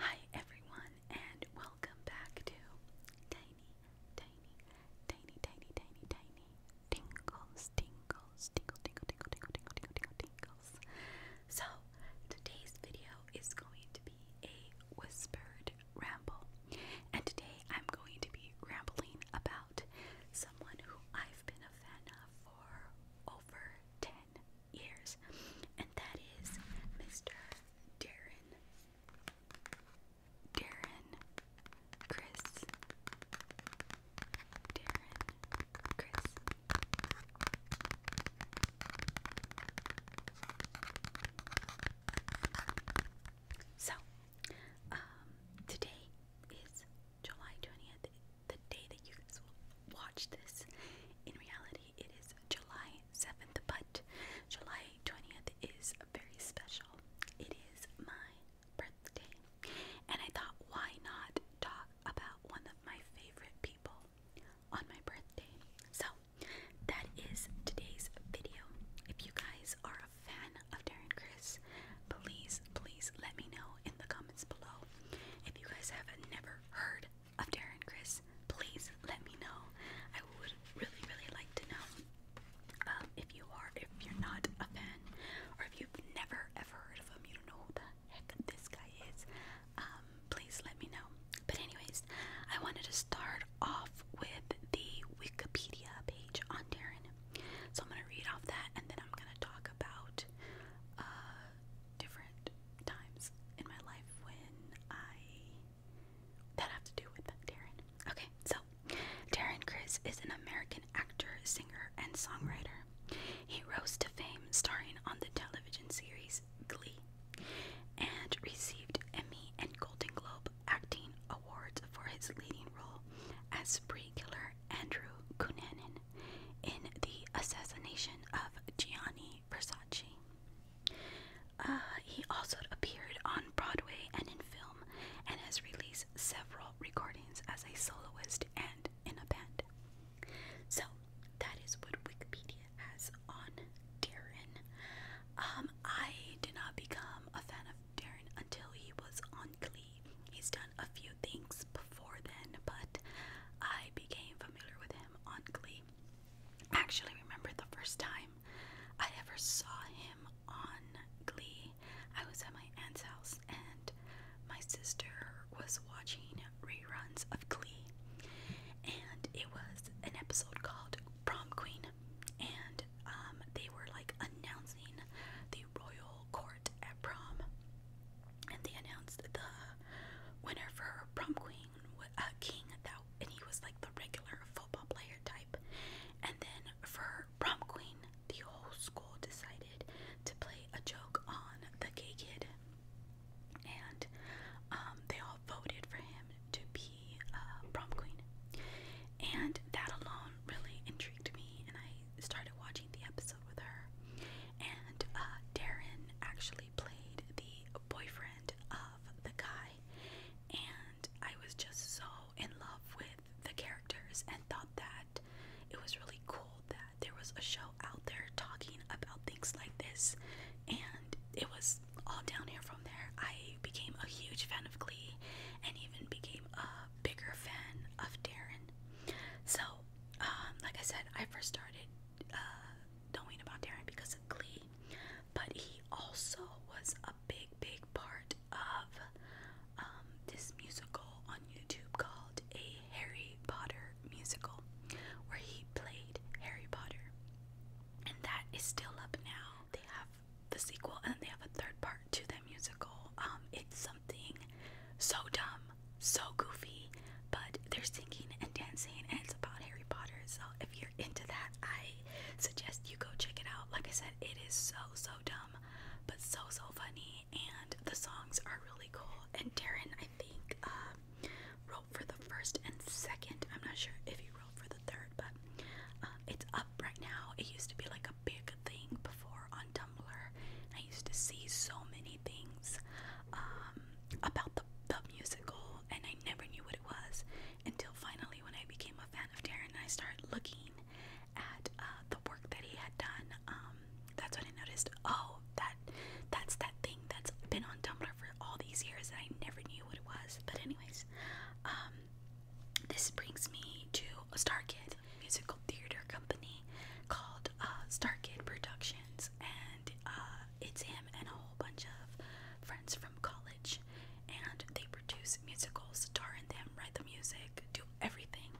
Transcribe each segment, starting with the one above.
Hi everyone and welcome back to Tiny, Tiny, Tiny, Tiny, Tiny, Tiny Tingles, Tingles, Tingle, Tingle, Tingle, Tingle, Tingle, Tingle, Tingle, Tingles. So today's video is going to be a whispered ramble. And today I'm going to be rambling about someone who I've been a fan of for over 10 years, and that is Mr. Darren. Darren Chris. Darren Chris. So, um, today is July 20th the day that you guys watch this. In reality, it is July 7th, but July 20th is very special. It is my birthday, and I thought, why not talk about one of my favorite people on my birthday? So, that is today's video. If you guys are a fan of Darren Chris, please, please let me know in the comments below. If you guys have never heard of Darren Chris, please let me know. I would really, really like to know um, if you are, if you're not a fan, or if you've never ever heard of him, you don't know who the heck this guy is. Um, please let me know. But anyways, I wanted to start off with the Wikipedia page on Darren so I'm gonna read off that, and then I'm gonna talk about uh, different times in my life when I that have to do with Darren. Okay, so Darren Chris is an American actor, singer, and songwriter. He rose to fame starring on the television series Glee and received Emmy and Golden Globe acting awards for his leading role as spree killer Andrew Cunanan in the assassination of Gianni Versace. Uh, he also appeared on Broadway and in film and has released several recordings as a soloist and in a band. So, that is what Wikipedia has on Darren. Um, I did not become a fan of Darren until he was on Glee he's done a few things before then, but I became familiar with him on Glee. I actually remember the first time I ever saw him on Glee. I was at my aunt's house and my sister was watching reruns of Glee. And it was an episode called Prom Queen. And um, they were like announcing the royal court at prom, and they announced the winner for prom queen, uh, king, that, and he was like the regular football player type. And then for prom queen, the whole school decided to play a joke on the gay kid, and um, they all voted for him to be uh, prom queen. And that alone really intrigued me, and I started watching the episode with her. And uh, Darren actually played the boyfriend of the guy. And I was just so in love with the characters and thought that it was really cool that there was a show out there talking about things like this. And it was all downhill from there. I became a huge fan of Glee and even became a bigger fan of Darren. So, um, like I said, I first started uh, knowing about Darren because of Glee, but he also was a big, big part of um, this musical on YouTube called A Harry Potter Musical, where he played Harry Potter. And that is still up now. They have the sequel and they have a third part to the musical. Um, it's so dumb, so goofy, but they're singing and dancing, and it's about Harry Potter. So if you're into that, I suggest you go check it out. Like I said, it is so so dumb, but so so funny, and the songs are really cool. And Darren, I think, uh, wrote for the first and second. I'm not sure if he wrote for the third, but uh, it's up right now. It used to be like big thing before on Tumblr. I used to see so many things um, about the, the musical, and I never knew what it was until finally when I became a fan of Darren, I started looking at uh, the work that he had done. Um, that's when I noticed, oh, that that's that thing that's been on Tumblr for all these years, and I never knew what it was. But anyways, um, this brings me to a Star Kid musical theater company called uh, Starkid Productions, and uh, it's him and a whole bunch of friends from college, and they produce musicals, star in them, write the music, do everything,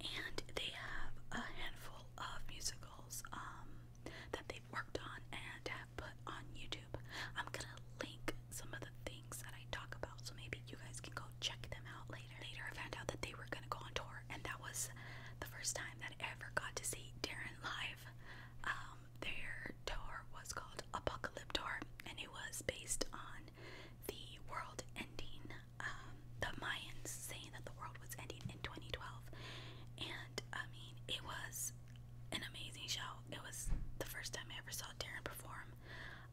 and they have a handful of musicals um, that they've worked on and have put on YouTube. I'm gonna link some of the things that I talk about, so maybe you guys can go check them out later later. Later, I found out that they were gonna go on tour, and that was the first time that I ever got to see Darren live. Um, their tour was called Apocalypse Tour, and it was based on the world ending, um, the Mayans saying that the world was ending in 2012. And I mean, it was an amazing show. It was the first time I ever saw Darren perform.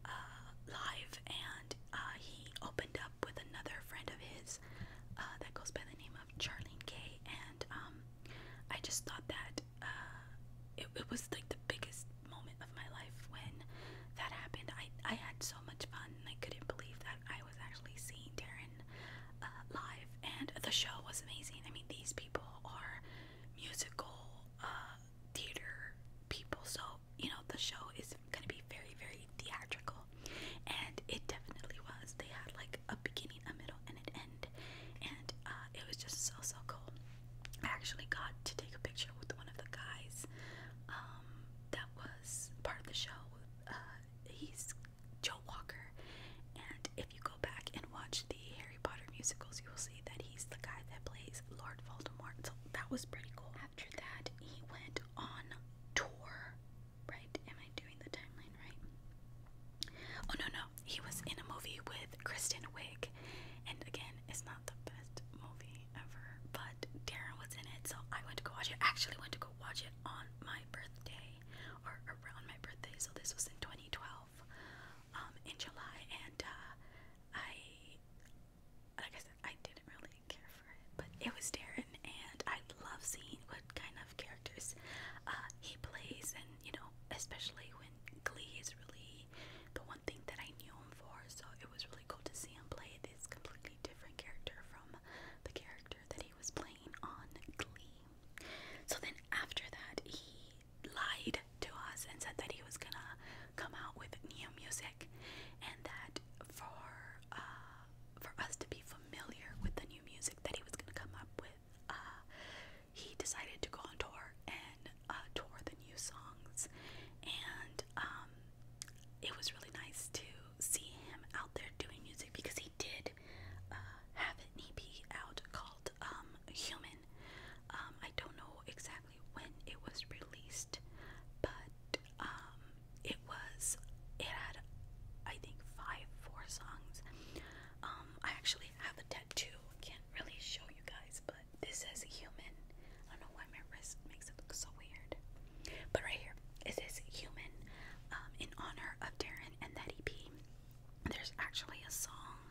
Uh, live, and uh, he opened up with another friend of his uh, that goes by the name of Charlene Kay, and um, I just thought that it, was like the biggest moment of my life when that happened. I I had so much fun, I couldn't believe that I was actually seeing Darren live, and the show was amazing. I mean, these people are musical. theater people so you know, the show is gonna be very, very theatrical, and it definitely was. They had like a beginning, a middle, and an end, and uh, it was just so, so cool. I actually got to take a picture with one of the guys um, that was part of the show. Uh, he's Joe Walker, and if you go back and watch the Harry Potter musicals, you will see that he's the guy that plays Lord Voldemort. So that was pretty cool. After that, he went on tour, right? Am I doing the timeline right? Oh no, no, he was in a movie with Kristen Wiig, and again, it's not the best movie ever, but Darren was in it, so I went to go watch it. I actually went to go watch it on my birthday or around my birthday, so this was in 2012, um, in July, and uh, I like I said, I didn't really care for it, but it was Darren, and I love seeing what kind of characters uh, he plays, and you know, especially when Glee is really the one thing that I knew him for. So it was really cool to see him play this completely different character from the character that he was playing on Glee. So then after that, he lied to us and said that he was gonna come out with new music and that for uh, for us to be familiar with the new music that he was going to come up with, uh, he decided to go on tour and uh, tour the new songs. And um, it was really nice to see him out there doing music because he did uh, have an EP out called um, Human. Um, I don't know exactly when it was released but um, it was it had I think five four songs. Um, I actually have a tattoo. can't really show you guys, but this says human. I don't know why my wrist makes it look so weird, but right here it human um, in honor of Darren and that EP. There's actually a song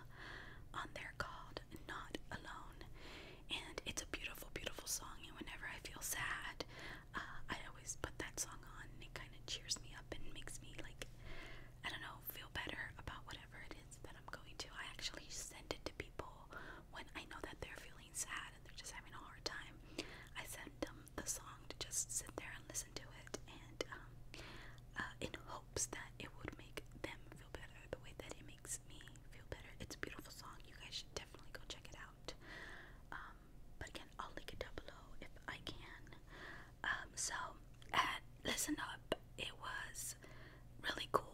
on there called Not Alone and it's a beautiful, beautiful song. And whenever I feel sad, uh, I always put that song on, and it kind of cheers me up and makes me like, I don't know, feel better about whatever it is that I'm going to. I actually send it to people when I know that they're feeling sad and they're just having a hard time. I send them the song to just sit there and listen to it, and um, uh, in hopes that it would make them feel better the way that it makes me feel better. It's a beautiful song. You guys should definitely go check it out. Um, but again, I'll link it down below if I can. Um, so at Listen Up, it was really cool.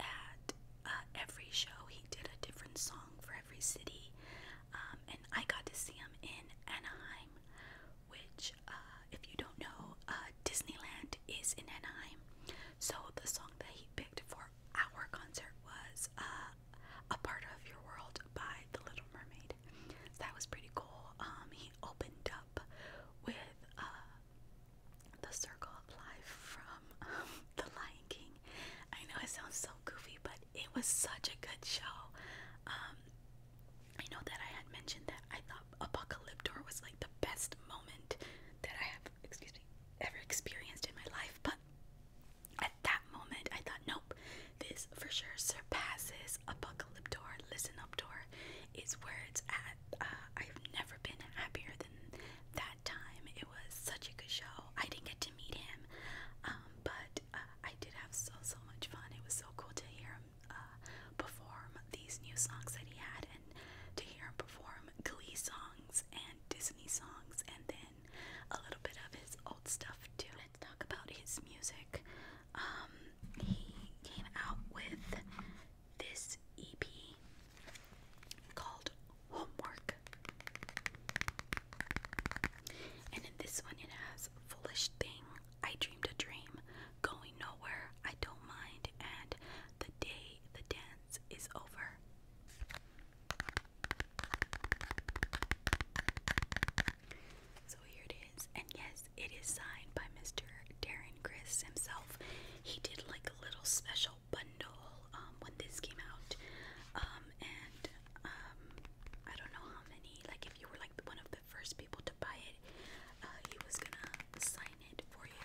At uh, every show, he did a different song for every city, um, and I got to see him in Anaheim, which, uh, if you don't know, uh, Disneyland is in Anaheim. So the song that he picked for our concert was uh, a part of your world by the Little Mermaid. that was pretty cool. Um, he opened up with uh, the Circle of Life from um, The Lion King. I know it sounds so goofy, but it was such a good show. Um, I know that I had mentioned that I thought Apocalyptor was like the best moment that I have excuse me, ever experienced in my life. But at that moment, I thought, nope, this for sure surpasses Apocalyptor, Listen Up Door, is where it's at. Uh, I've never been happier than that time. It was such a good show. I didn't get to meet him, um, but uh, I did have so, so much fun. It was so cool to hear him uh, perform these new songs that he had and to hear him perform glee songs and Disney songs and then a little bit of his old stuff too. Let's talk about his music. Um, he came out with this EP called Homework. And in this one, it has Foolish Thing, I Dreamed a Dream, Going Nowhere, I Don't Mind, and The Day the Dance suspense is over. So here it is, and yes, it is signed by Mr. Darren Chris himself. He did like a little special bundle um, when this came out, um, and um, I don't know how many. Like, if you were like one of the first people to buy it, uh, he was gonna sign it for you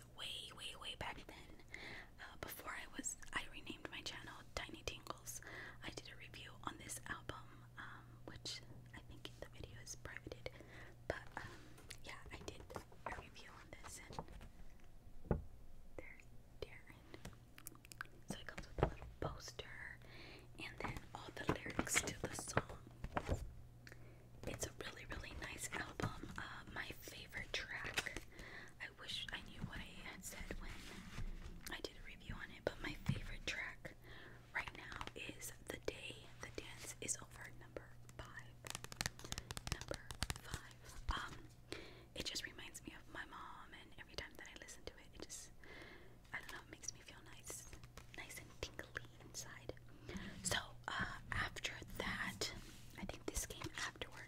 way, way, way back then. Uh, before I was, I renamed my channel Tiny Tingles. I did a review on this album, um, which I think the video is privated. But um, yeah, I did a review on this, and there's Darren. So it comes with a little poster, and then all the lyrics to the song. It's a really, really nice album. Uh, my favorite track I wish I knew what I had said when I did a review on it, but my favorite track right now is The Day the Dance Is Over, number five. Number five. Um, it just reminds me of my mom, and every time that I listen to it, it just, I don't know, it makes me feel nice, nice and tingly inside. So, uh, after that, I think this came afterwards.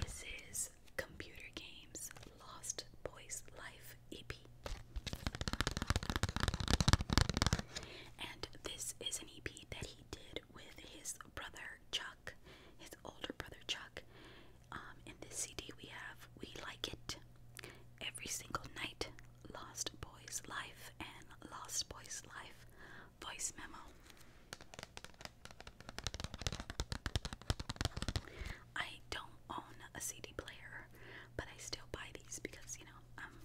This is Computer Games Lost Boys Life EP. And this is an EP that he did with his brother Chuck, his older brother Chuck. Um, in this CD, we have We Like It, Every Single Night, Lost Boy's Life and Lost Boy's Life voice memo. I don't own a CD player, but I still buy these because, you know, um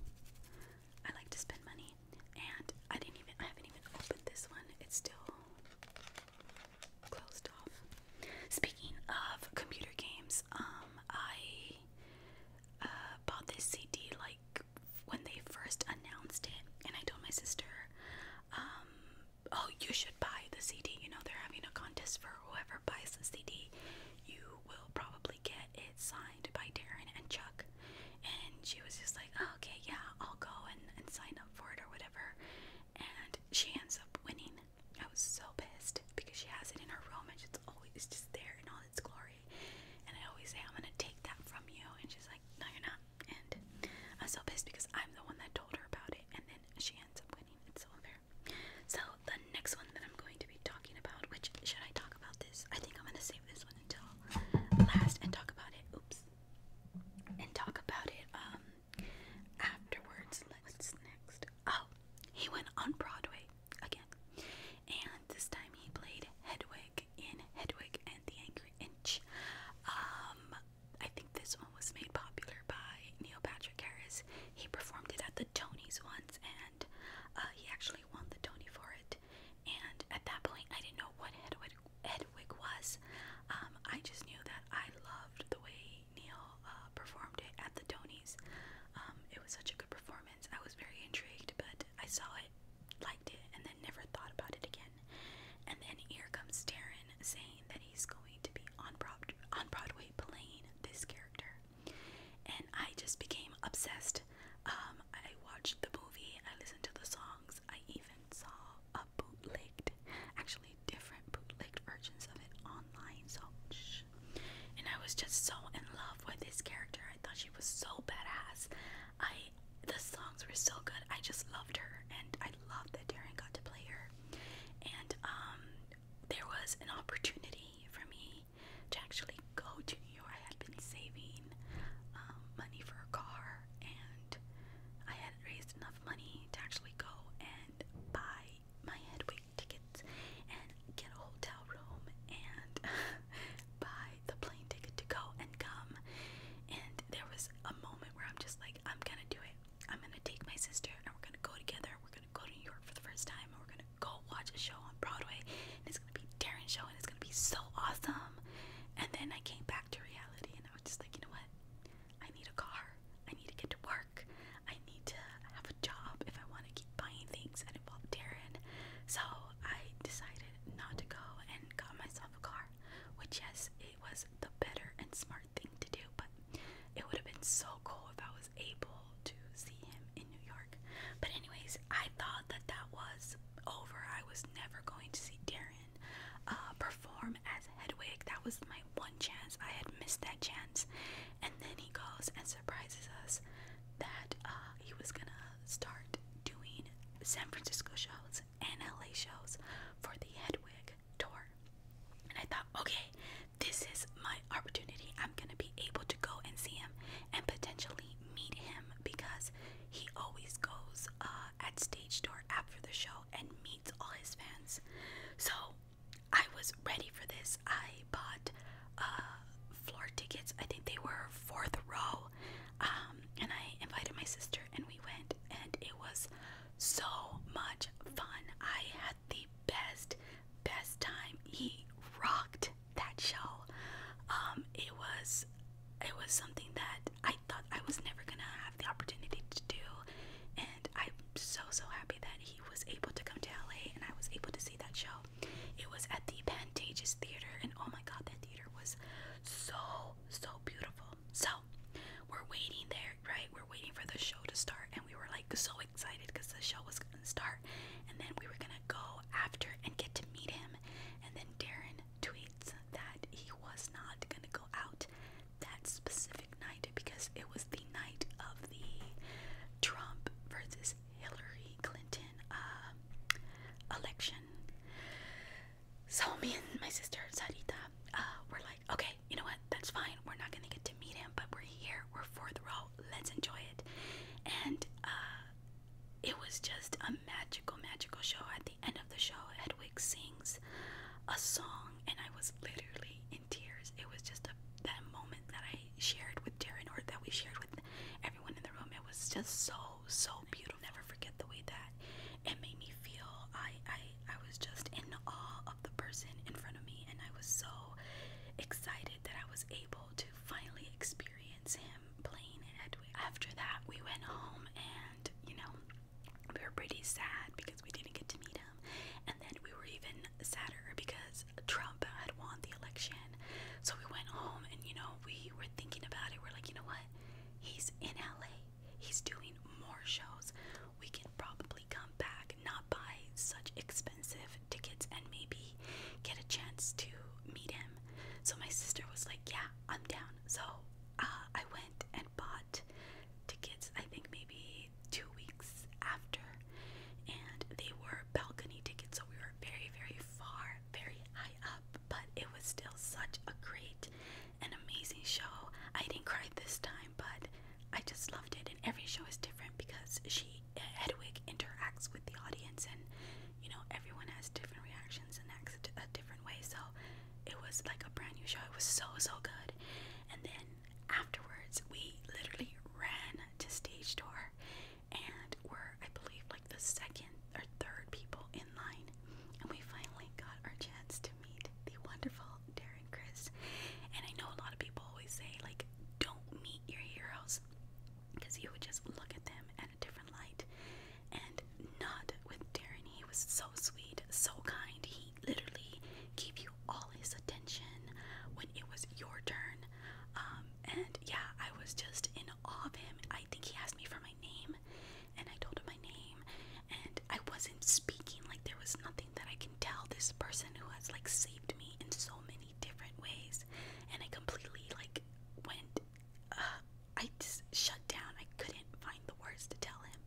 I like to spend money and I didn't even I haven't even opened this one. It's still closed off. Speaking of computer games, um I uh, bought this CD like when they first announced it, and I told my sister, um, "Oh, you should buy the CD. You know they're having a contest for whoever buys the CD. You will probably get it signed by Darren and Chuck." And she was just like, oh, "Okay, yeah, I'll go and sign up for it or whatever." And she ends up winning. I was so pissed because she has it in her room and it's always just there in all its glory. And I always say, I'm gonna take that from you. And she's like, No, you're not. And I'm so pissed because I'm the one that told her about it. And then she ends up winning. it so unfair. So, the next one that I'm going to be talking about, which should I talk about this? I think I'm gonna save this one until last and talk about it. Oops. And talk about it um afterwards. What's next? Oh, he went on Broadway again. And this time he played Hedwig in Hedwig and the Angry Inch. Um, I think this one was made popular by Neil Patrick Harris. He performed it at the Tonys once, and uh, he actually won the Tony for it. And at that point, I didn't know what Hedwig, was. Um, I just knew that I loved the way Neil uh, performed it at the Tonys. Um, it was such a good performance. I was very intrigued, but I saw it, liked it, and then never thought about it again. And then here comes Darren saying that he's going to be on Broad on Broadway playing this character, and I just became obsessed. Um, I watched the movie, I listened to the songs, I even saw a bootlegged, actually different bootlegged versions of it online. So, and I was just so in love with this character. I thought she was so badass. I the songs were so good. I just loved her, and I loved that Darren got to play her. And um, there was an opportunity for me to actually go to New York. I had been saving um, money for a car, and I had raised enough money to actually go and buy my headway tickets and get a hotel room and buy the plane ticket to go and come. And there was a moment where I'm just like, I'm gonna do it. I'm gonna take my sister and we're gonna go together. We're gonna go to New York for the first time and we're gonna go watch a show on Broadway. And it's gonna be Darren's show and it's gonna be so awesome. And then I came back to reality and I was just like, you know what? I need a car. I need to get to work. I need to have a job if I want to keep keep buying things that involved Darren. So I decided not to go and got myself a car, which, yes, it was the better and smart thing to do, but it would have been so cool if I was able to see him in New York. But, anyways, I thought that that was over. I was never going to see Darren uh, perform as Hedwig. That was my one chance. I had missed that chance. And then he goes and surprises us that uh, he was gonna start doing San Francisco shows and LA shows for the Hedwig tour. And I thought, okay, this is my opportunity. I'm going to be able to go and see him and potentially meet him because he always goes uh, at stage door after the show and meets all his fans. So I was ready for this. I bought uh, floor tickets. I think they were fourth row. Um, and I invited my sister and we went and it was so much fun. I had the best, best time. He rocked that show. Um, it was it was something that I thought I was never gonna have the opportunity to do and I'm so so happy that he was able to come to LA and I was able to see that show. It was at the Pantages Theater, and oh my god, that theater was so, so beautiful. So, we're waiting there, right? We're waiting for the show to start, and we were like so excited because the show was gonna start, and then we were gonna go after and get to meet him. And then Darren tweets that he was not gonna go out that specific night because it was the night of the Trump versus Hillary Clinton uh, election. So me and my sister Sarita uh, were like, okay, you know what? That's fine. We're not gonna get to meet him, but we're here. We're fourth row. Let's enjoy it. And uh, it was just a magical, magical show. At the end of the show, Hedwig sings a song, and I was literally in tears. It was just a that moment that I shared with Darren, or that we shared with everyone in the room. It was just so so beautiful. Never forget the way that it made me feel. I, I I was just in awe of the person in front of me, and I was so excited that I was able to finally experience him playing Hedwig. After that, we went home, and you know, we were pretty sad because we didn't get to meet him, and then we were even sadder because Troy Brown had won the election. So we went home and, you know, we were thinking about it. We're like, you know what? He's in LA. He's doing more shows. We can probably come back, not buy such expensive tickets, and maybe get a chance to meet him. So my sister was like, yeah, I'm down. So uh, I went and bought tickets, I think maybe two weeks after. And they were balcony tickets, so we were very, very far very high up, but it was still such a great and amazing show. I didn't cry this time, but I just loved it. And every show is different because she, Hedwig, interacts with the audience, and you know, everyone has different reactions and acts a different way. So it was like a brand new show. It was so, so good. And then afterwards, we literally ran to stage door and we I believe, like the second or third people in line. And we finally got our chance to meet the wonderful Darren Chris. And I know a lot of people always say, like, don't meet your heroes because you would just look at them at a different light. And not with Darren. He was so sweet, so kind. He literally gave you all his attention when it was your turn. Um, and yeah, I was just in awe of him. I. I think he asked me for my name, and I told him my name, and I wasn't speaking. Like, there was nothing that I can tell this person who has, like, saved me in so many different ways. And I completely, like, went, uh, I just shut down. I couldn't find the words to tell him.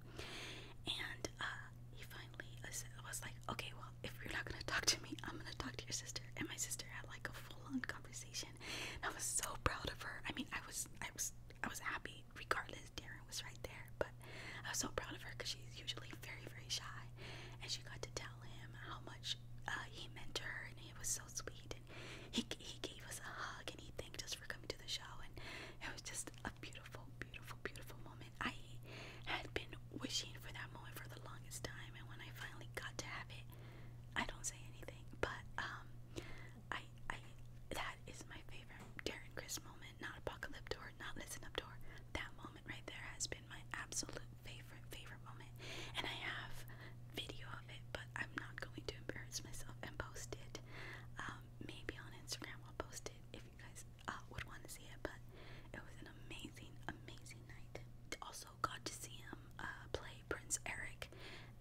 And, uh, he finally was like, okay, well, if you're not gonna talk to me, I'm gonna talk to your sister. And my sister had, like, a full on conversation attention. And I was so proud of her. I mean, I was, I was, I was happy regardless. Darren was right there, but I was so proud of her because she's usually very, very shy, and she got to tell him how much uh, he meant to her, and it was so sweet. And he he gave us a hug, and he thanked us for coming to the show, and it was just a beautiful, beautiful, beautiful moment. I had been wishing for that moment for the longest time, and when I finally got to have it, I don't say anything, but um, I I that is my favorite Darren Chris moment. Not Apocalypse Door. not Listen Up Door. That moment right there has been my absolute favorite favorite moment, and I have video of it, but I'm not going to embarrass myself and post it. Um, maybe on Instagram I'll post it if you guys uh, would want to see it. But it was an amazing amazing night. Also also got to see him uh, play Prince Eric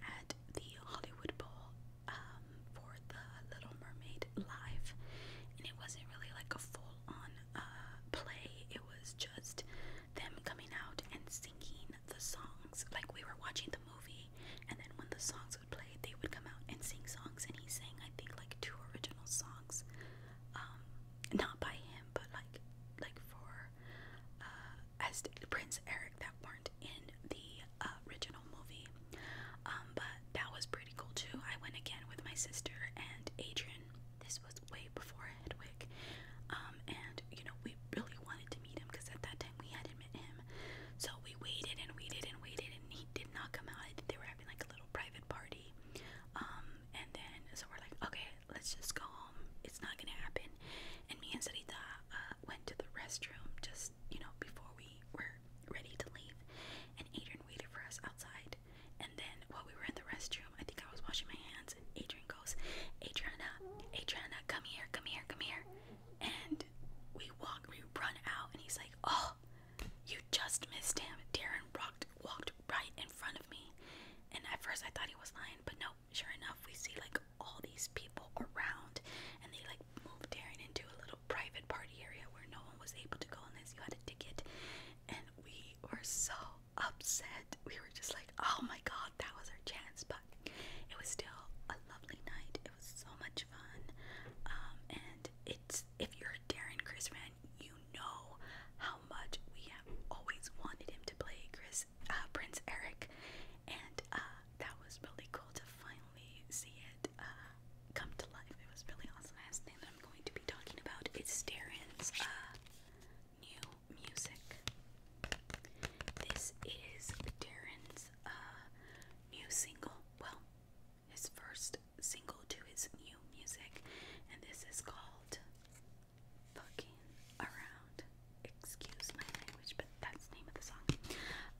at the Hollywood Bowl um, for the Little Mermaid live, and it wasn't really like a full-on uh, play. It was just them coming out and singing the songs. Like we were watching the movie, and then when the songs would play, they would come out and sing songs. And he sang, I think, like two original songs, um, not by him, but like like for uh, as Prince Eric that weren't in the uh, original movie. Um, but that was pretty cool too. I went again with my sister and Adrian. This was way before Hedwig. Um, and you know, we really wanted to meet him because at that time we hadn't met him. So we waited and waited and waited, and he did not come out. they were having like a little private party. Um, and then so we're like, okay, let's just go home. It's not gonna happen. And me and Sarita uh, went to the restroom just, you know, before we were ready to leave. And Adrian waited for us outside. And then while we were in the restroom, I think I was washing my hands, and Adrian goes, Adriana, Adriana, come here, come here, come here. And we walk, we run out, and he's like, oh, you just missed him. Darren walked, walked right in front of me. And at first I thought he was lying, but no, sure enough, we see like all these people around, and they like moved Darren into a little private party area where no one was able to go unless you had a ticket. And we were so upset. We were just like, oh my god, that was our chance. But it was still a lovely night. It was so much fun. Um, and it's if you're a Darren Chris fan, you know how much we have always wanted him to play Chris uh, Prince Eric, and uh, that was really cool to finally see it uh, come to life. It was really awesome. The thing that I'm going to be talking about is Darren's new music. This is Darren's new single. Well, his first single to his new music, and this is called fucking around. Excuse my language, but that's the name of the song.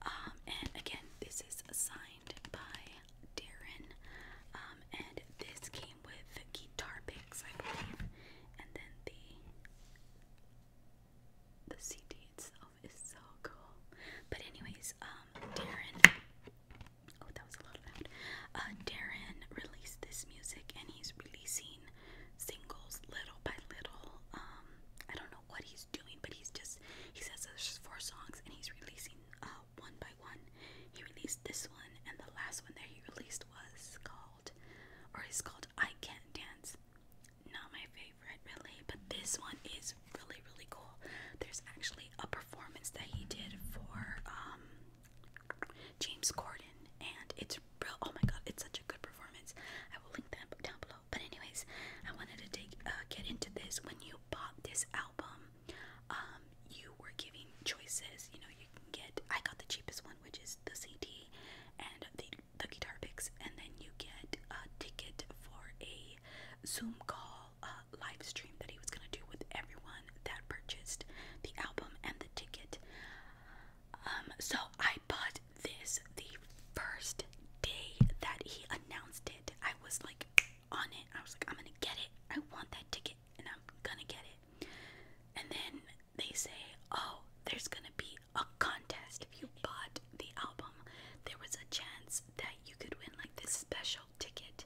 Um, and again, this is signed by Darren. Um, and this came with guitar picks, I believe. And then the the CD itself is so cool. But anyways, um, Darren. Oh, that was a lot of loud. Uh, Darren released this music, and he's releasing singles little by little. Um, I don't know what he's doing, but he's just he says there's four songs and he's releasing uh, one by one. He released this one and the last one that he released was called or is called I Can't Dance. Not my favorite really, but this one is really really cool. There's actually a performance that he did for um, James Corden, and it's real. Oh my god, it's such a good performance. I will link that book down below. But anyways, I wanted to take uh, get into this. When you bought this album, um, you were giving choices. You know, you can get. I got the cheapest one, which is the CD and the the guitar picks, and then you get a ticket for a Zoom call uh, live stream that he was gonna do with everyone that purchased the album and the ticket. Um, so I bought this the first day that he announced it. I was like on it. I was like, I'm gonna get it. I want that ticket and I'm gonna get it. And then they say, Oh, there's gonna be a contest. If you bought the album, there was a chance that you could win like this special ticket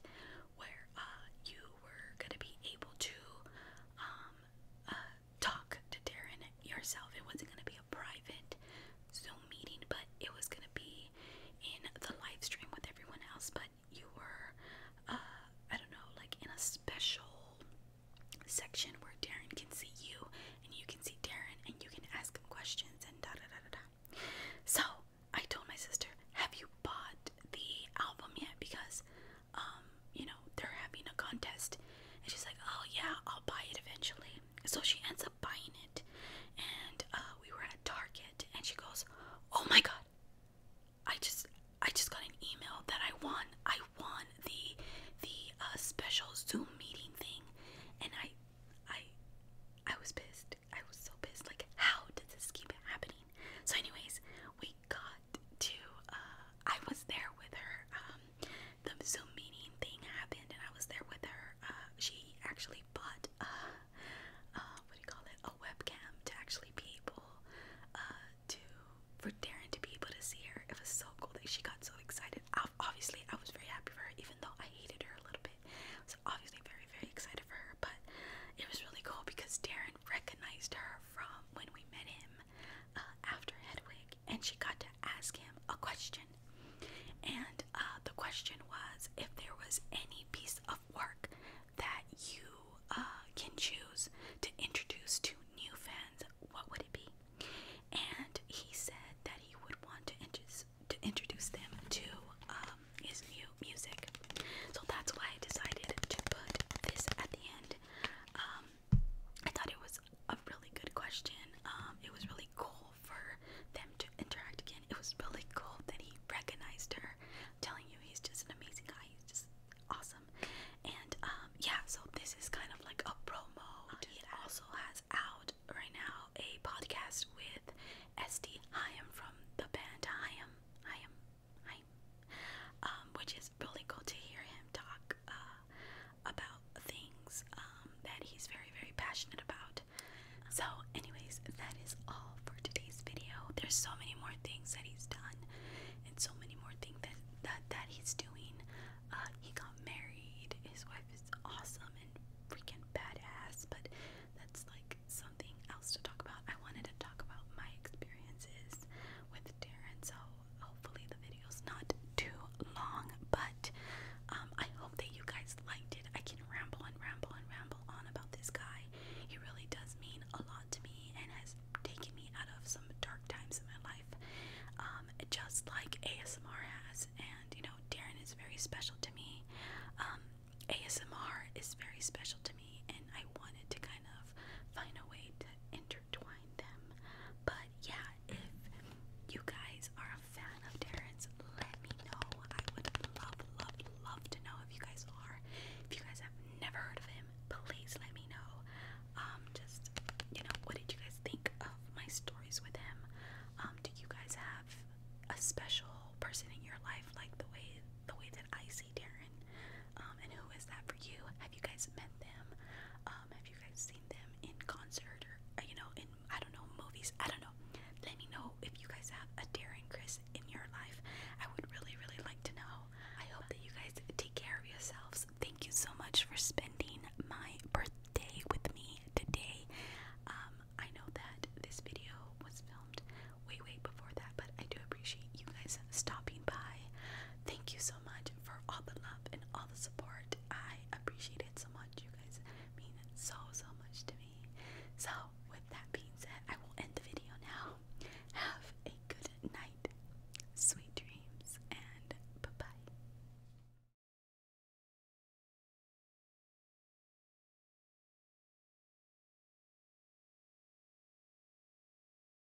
where uh, you were gonna be able to um, uh, talk to Darren yourself. It wasn't going to be a private Zoom meeting, but it was going to be in the live stream with everyone else. But you were, uh, I don't know, like in a special section where Darren can see you and you can see Darren and you can ask him questions and da da da da da. So I told my sister, Have you bought the album yet? Because um, you know, they're having a contest. And she's like, oh yeah, I'll buy it eventually. So she ends up buying it. And uh, we were at Target and she goes, oh my God, I just, I just got an email that I won. I won the, the uh, special Zoom meeting thing. And I, I, I was pissed. I was so pissed. Like, how did this keep happening? So anyways, we got to uh, I was there with her. Um, the Zoom meeting thing happened and I was there with her. Uh, she actually bought uh, what do you call it? A webcam to actually be able to for Darren to be able to see her. It was so cool that she got so excited. obviously I was very happy for her even though I hated her a little bit. I was obviously very very excited for her but it was really cool because Darren recognized her from when we met him uh, after Hedwig, and she got to ask him a question. And uh, the question was if there was any piece of work that you uh, can choose to introduce to new fans, what would it be? And he said that he would want to, introduce, to introduce them to um, his new music. So that's why I decided to put this at the end. Um, I thought it was a really good question. Um, it was really cool for them to interact again. It was really cool that he recognized her. I'm telling you, he's just an amazing guy. He's just awesome. And um, yeah, so this is kind of like a promo. Uh, he also has out right now a podcast with SD Hyam from the band I am. Hi. Um, which is really cool to hear him talk uh, about things um, that he's very, very passionate about. So, anyways, that is all for today's video. There's so many more things that he's done, and so many more things that that, that he's doing. Uh, he got married. His wife is awesome and freaking badass, but that's like something else to talk about. I wanted to talk about my experiences with Darren, so hopefully the video's not too long, but um, I hope that you guys liked it. I can ramble and ramble and ramble on about this guy. He really does mean a lot to me and has taken me out of some dark times in my life, um, just like ASMR has. And you know, Darren is very special to me. Um, ASMR is very special to me, and I wanted to kind of find a way to intertwine them. But yeah, if you guys are a fan of Darren's, let me know. I would love, love, love to know if you guys are. If you guys have never heard of him, please let me know. Um, just you know, what did you guys think of my stories with him? Um, do you guys have a special person in your life like the way the way that I see? Darren? Um, and who is that for you? Have you guys met them? Um, have you guys seen them in concert or, uh, you know, in, I don't know, movies? I don't know. Let me know if you guys have a Darren Chris in your life. I would really, really like to know. I hope that you guys take care of yourselves. Thank you so much for spending my birthday with me today. Um, I know that this video was filmed way, way before that, but I do appreciate you guys stopping by. Thank you so much for all the love and all the support. I appreciate it so much. You guys mean so, so much to me. So, with that being said, I will end the video now. Have a good night, sweet dreams, and bye bye.